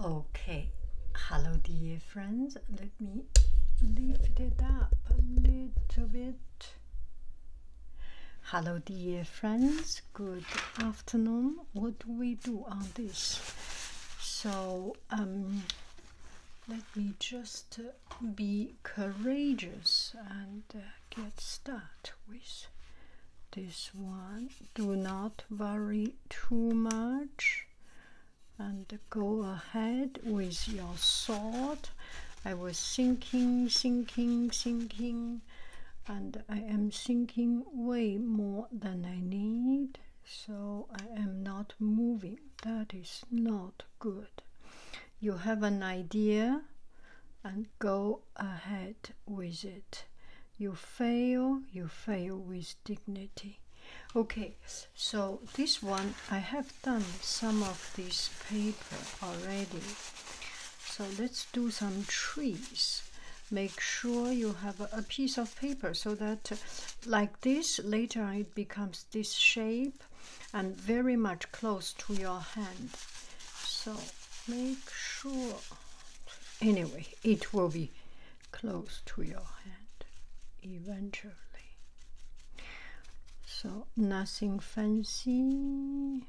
Okay, hello dear friends. Let me lift it up a little bit. Hello dear friends, good afternoon. What do we do on this? So, um, let me just uh, be courageous and uh, get start with this one do not worry too much and go ahead with your thought. I was sinking, sinking, sinking, and I am sinking way more than I need, so I am not moving. That is not good. You have an idea and go ahead with it you fail you fail with dignity okay so this one i have done some of this paper already so let's do some trees make sure you have a piece of paper so that like this later it becomes this shape and very much close to your hand so make sure Anyway, it will be close to your hand eventually. So nothing fancy.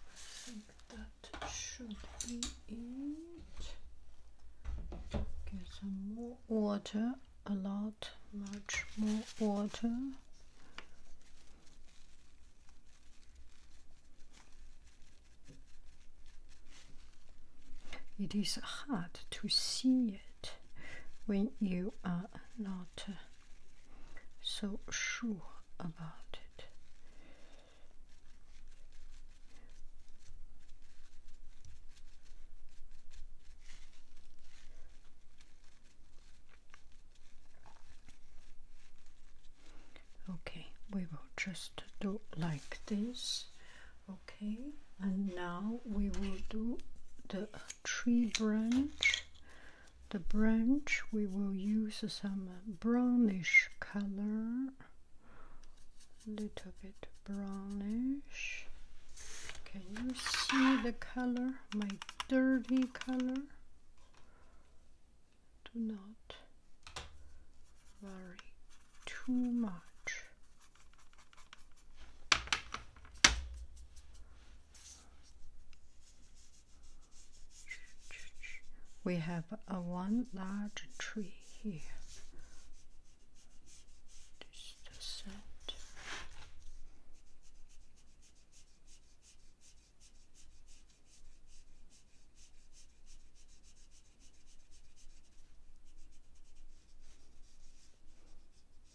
I think that should be it. Get some more water, a lot, much more water. It is hard to see when you are not uh, so sure about it. Okay, we will just do like this. Okay and now we will do the tree branch the branch we will use some brownish color a little bit brownish can you see the color my dirty color do not worry too much we have a one large tree here. This the set.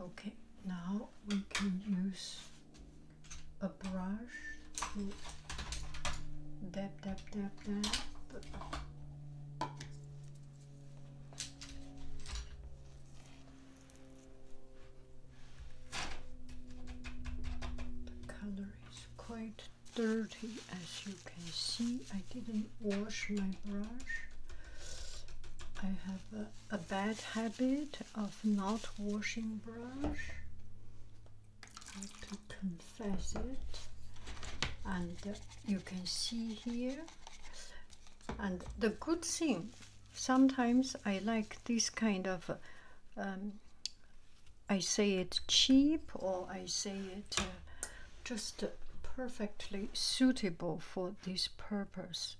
Okay, now we can use a brush to dab, dab, dab, dab. The color is quite dirty as you can see. I didn't wash my brush. I have a, bad habit of not washing brush. I have to confess it. And uh, you can see here. And the good thing sometimes I like this kind of, um, I say it cheap or I say it uh, just perfectly suitable for this purpose.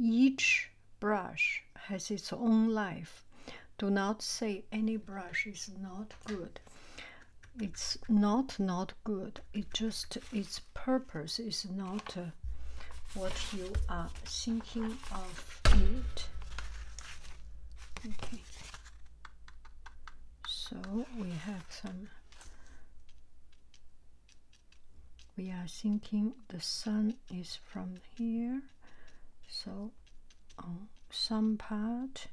Each brush has its own life. Do not say any brush is not good. It's not not good. It just it's purpose is not uh, what you are thinking of it. So we have some. We are thinking the sun is from here, so on some part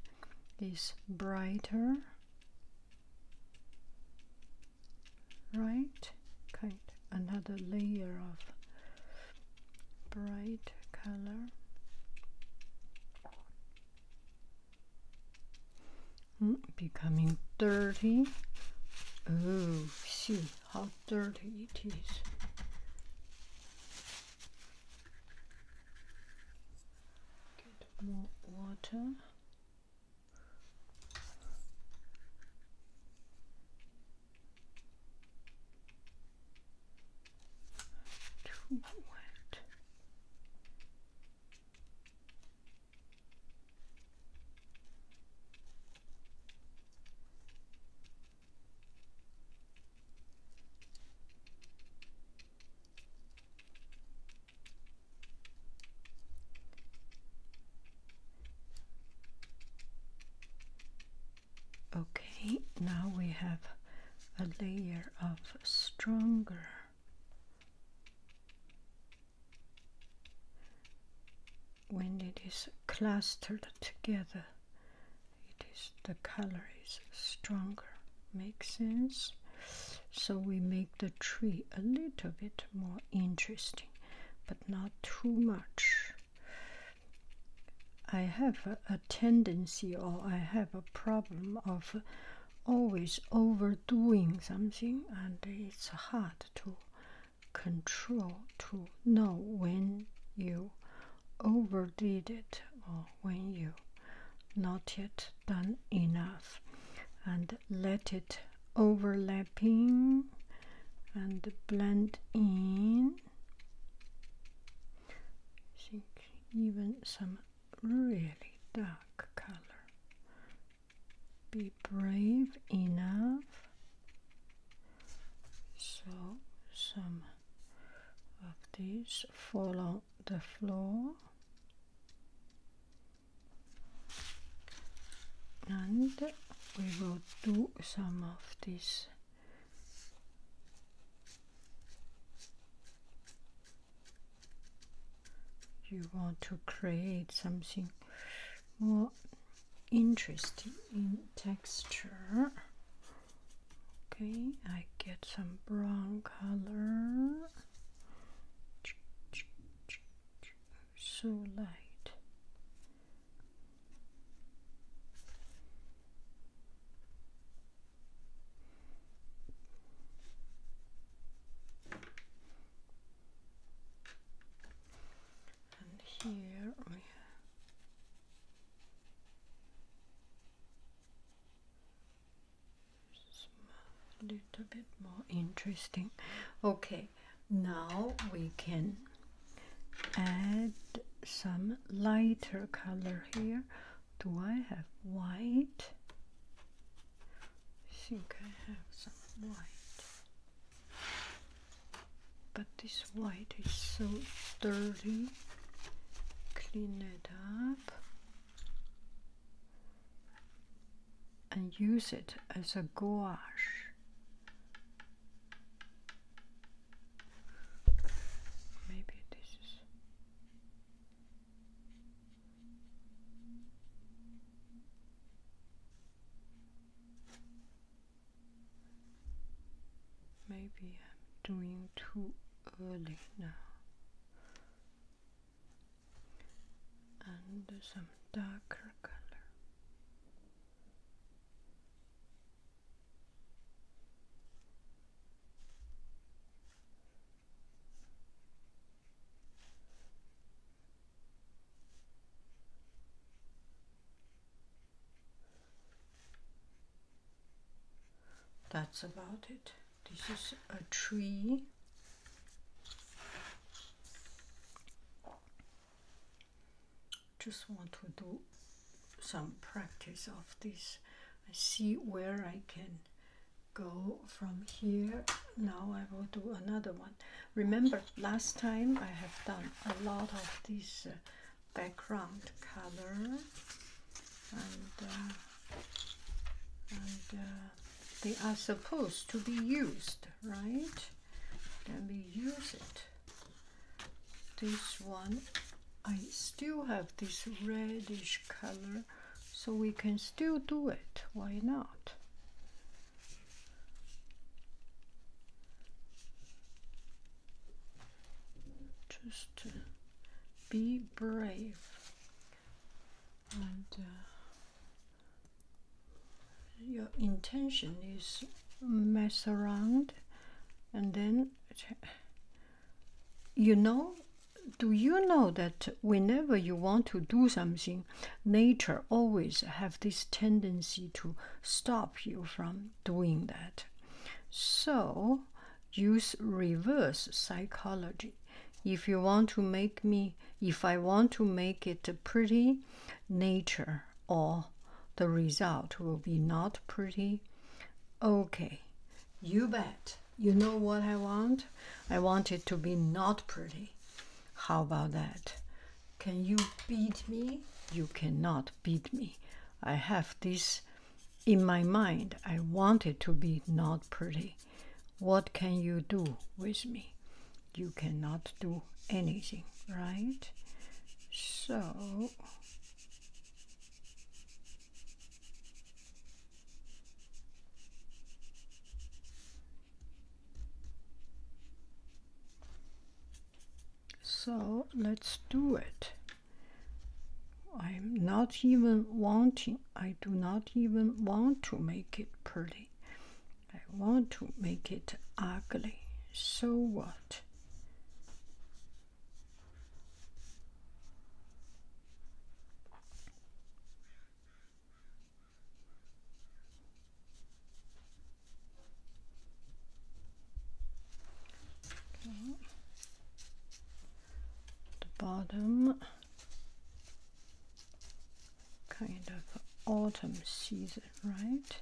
is brighter right kite another layer of bright color mm, becoming dirty oh see how dirty it is get more water to what? Okay, now we have a layer of stronger when it is clustered together it is the color is stronger makes sense so we make the tree a little bit more interesting, but not too much. I have a tendency or I have a problem of always overdoing something, and it's hard to control to know when you overdid it or when you not yet done enough and let it overlapping and blend in. I think even some really dark color. Be brave enough. So some of these fall on the floor and we will do some of this you want to create something more interesting in texture okay I get some brown color so light. And here we have a bit more interesting. Okay, now we can add some lighter color here do I have white I think I have some white but this white is so dirty clean it up and use it as a gouache. Maybe this is. Maybe I'm doing too early now and some darker color. That's about it. This is a tree just want to do some practice of this. see where I can go from here. Now I will do another one. Remember last time I have done a lot of this uh, background color and uh, and uh, they are supposed to be used, right? Let we use it. This one, I still have this reddish color, so we can still do it. Why not? Just be brave and uh, your intention is mess around and then you know do you know that whenever you want to do something nature always have this tendency to stop you from doing that so use reverse psychology if you want to make me if i want to make it pretty nature or the result will be not pretty okay you bet you know what i want i want it to be not pretty how about that can you beat me you cannot beat me i have this in my mind i want it to be not pretty what can you do with me? You cannot do anything, right? So So let's do it. I'm not even wanting, I do not even want to make it pretty. I want to make it ugly. So what? The bottom kind of autumn season, right?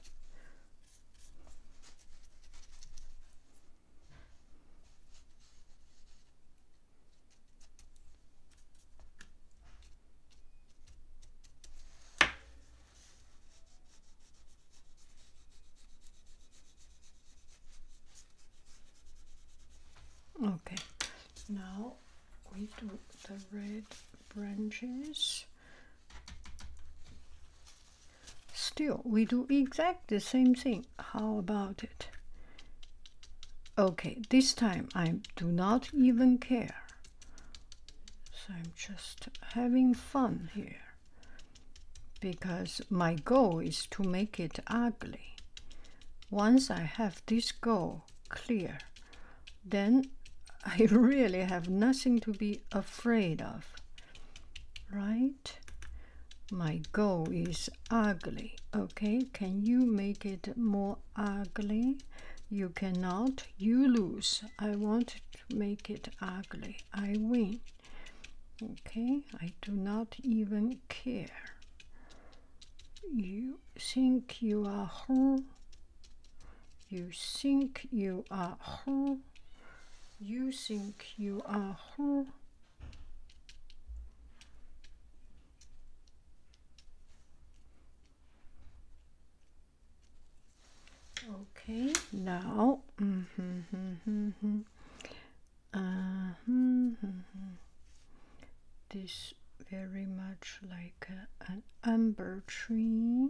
Okay, now we do the red branches still we do exactly the same thing how about it okay this time I do not even care so I'm just having fun here because my goal is to make it ugly once I have this goal clear then I really have nothing to be afraid of. Right? My goal is ugly. Okay, can you make it more ugly? You cannot. You lose. I want to make it ugly. I win. Okay, I do not even care. You think you are her. You think you are her. You think you are her. Okay, now. Mm-hmm, mm-hmm, mm-hmm. Uh-huh, this very much like an amber tree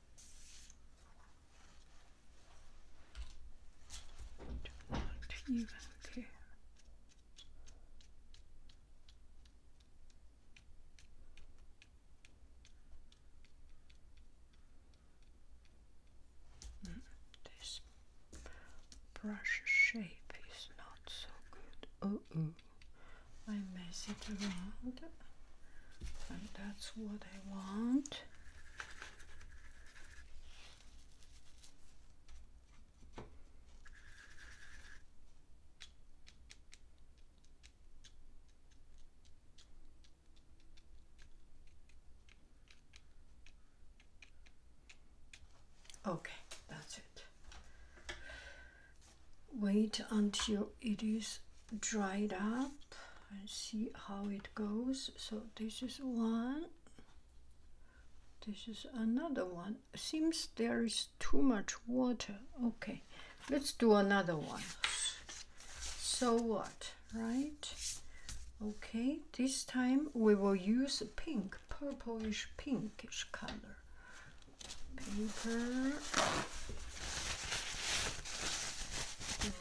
do you have here? this brush shape is not so good. oh. I mess it around and that's what I want Okay, that's it wait until it is dried up and see how it goes so this is one this is another one seems there is too much water okay let's do another one so what right okay this time we will use pink purplish pinkish color paper,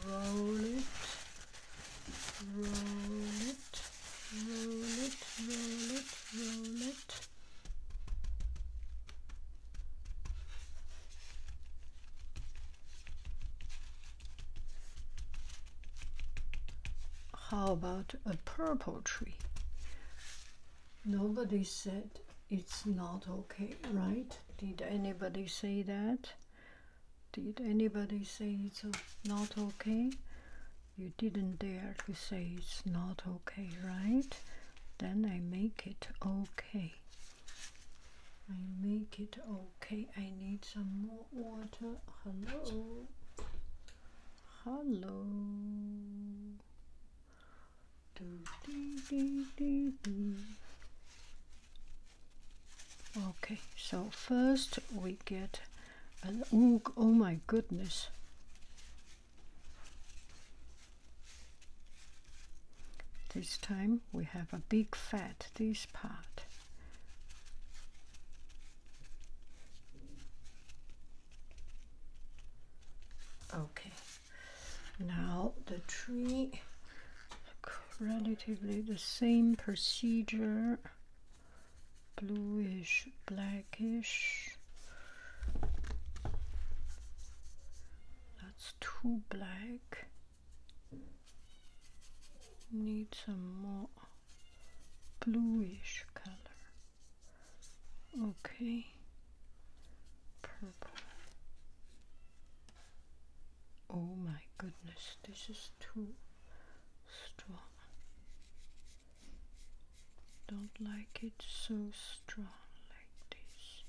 roll it, roll it, roll it, roll it, roll it. How about a purple tree? Nobody said it's not okay, right? Did anybody say that? Did anybody say it's not okay? You didn't dare to say it's not okay, right? Then I make it okay. I make it okay. I need some more water. Hello. Hello. Okay, so first we get an oog. Oh my goodness. This time we have a big fat, this part. Okay. Now the tree, relatively the same procedure, bluish, blackish. That's too black. Need some more bluish color. Okay purple. Oh my goodness, this is too strong. Don't like it so strong like this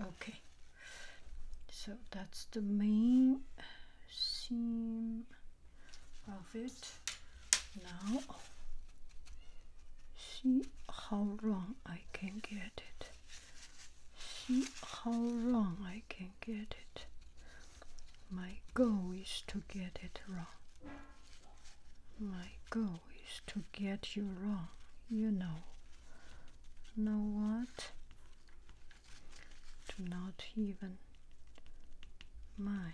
okay so that's the main seam of it now see how wrong I can get it see how wrong I can get it my goal is to get it wrong. My goal is to get you wrong, you know. Know what? Do not even mind.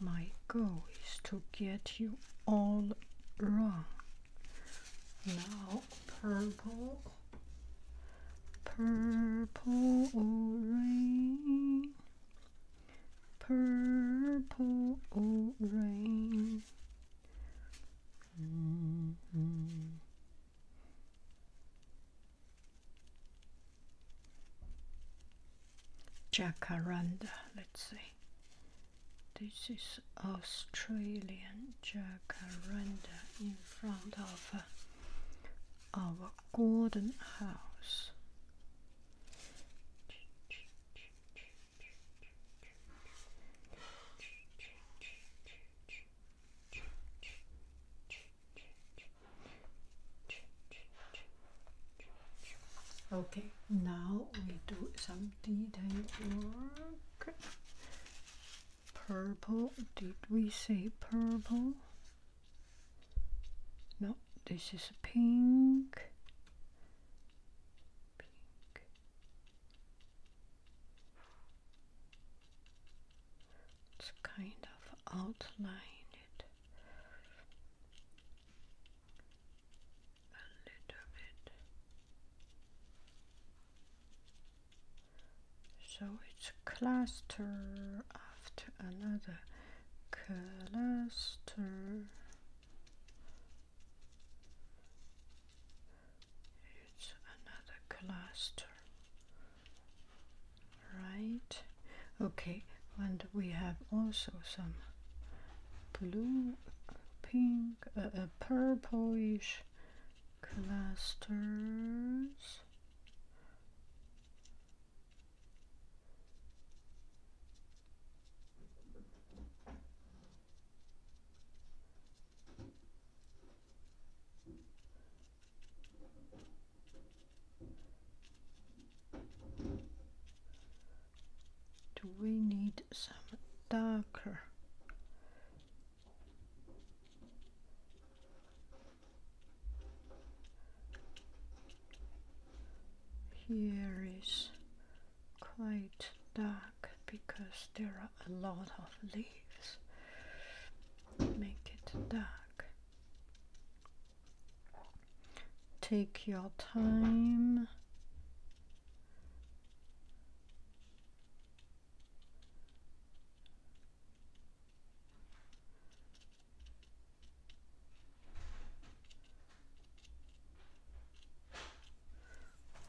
My goal is to get you all wrong. Now, purple Purple rain, purple rain. -hmm. Jacaranda, let's see. This is Australian jacaranda in front of uh, our golden house. Okay, now we do some detail work purple. Did we say purple? No, this is pink. Pink. It's kind of outlined. It a little bit so it's cluster after another cluster it's another cluster right okay and we have also some blue pink uh, uh purplish clusters do we need some darker here is quite dark because there are a lot of leaves. Make it dark. Take your time.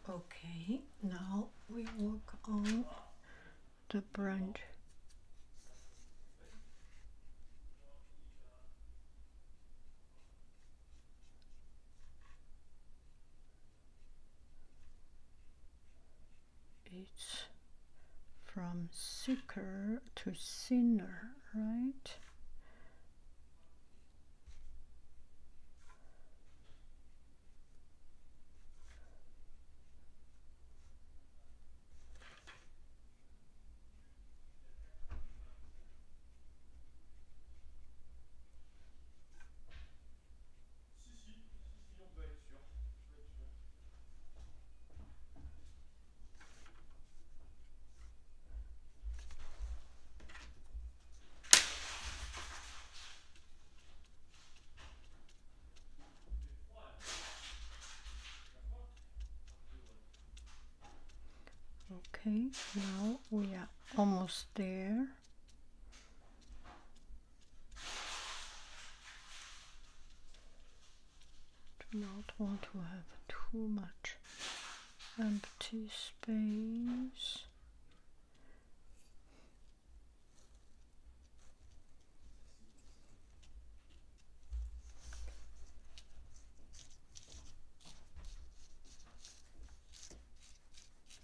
Okay, now we work on the branch it's from seeker to sinner, right? okay now we are almost there do not want to have too much empty space.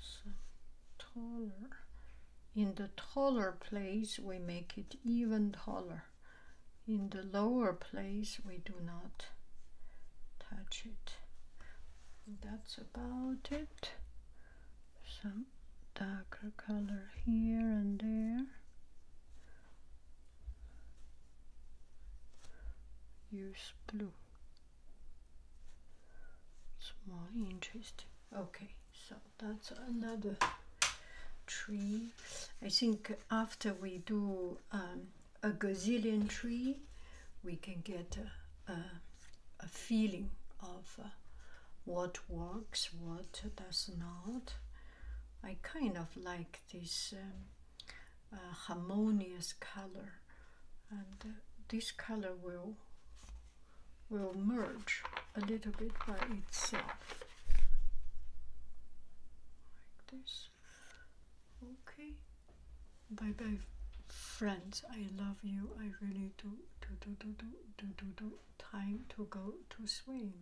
So taller. In the taller place, we make it even taller. In the lower place, we do not touch it. That's about it. Some darker color here and there use blue. It's more Okay, so that's another tree. I think after we do um, a gazillion tree, we can get a, feeling of uh, what works, what does not. I kind of like this um, uh, harmonious color and uh, this color will will merge a little bit by itself like this okay bye bye friends i love you i really do do do do do do do, do. time to go to swim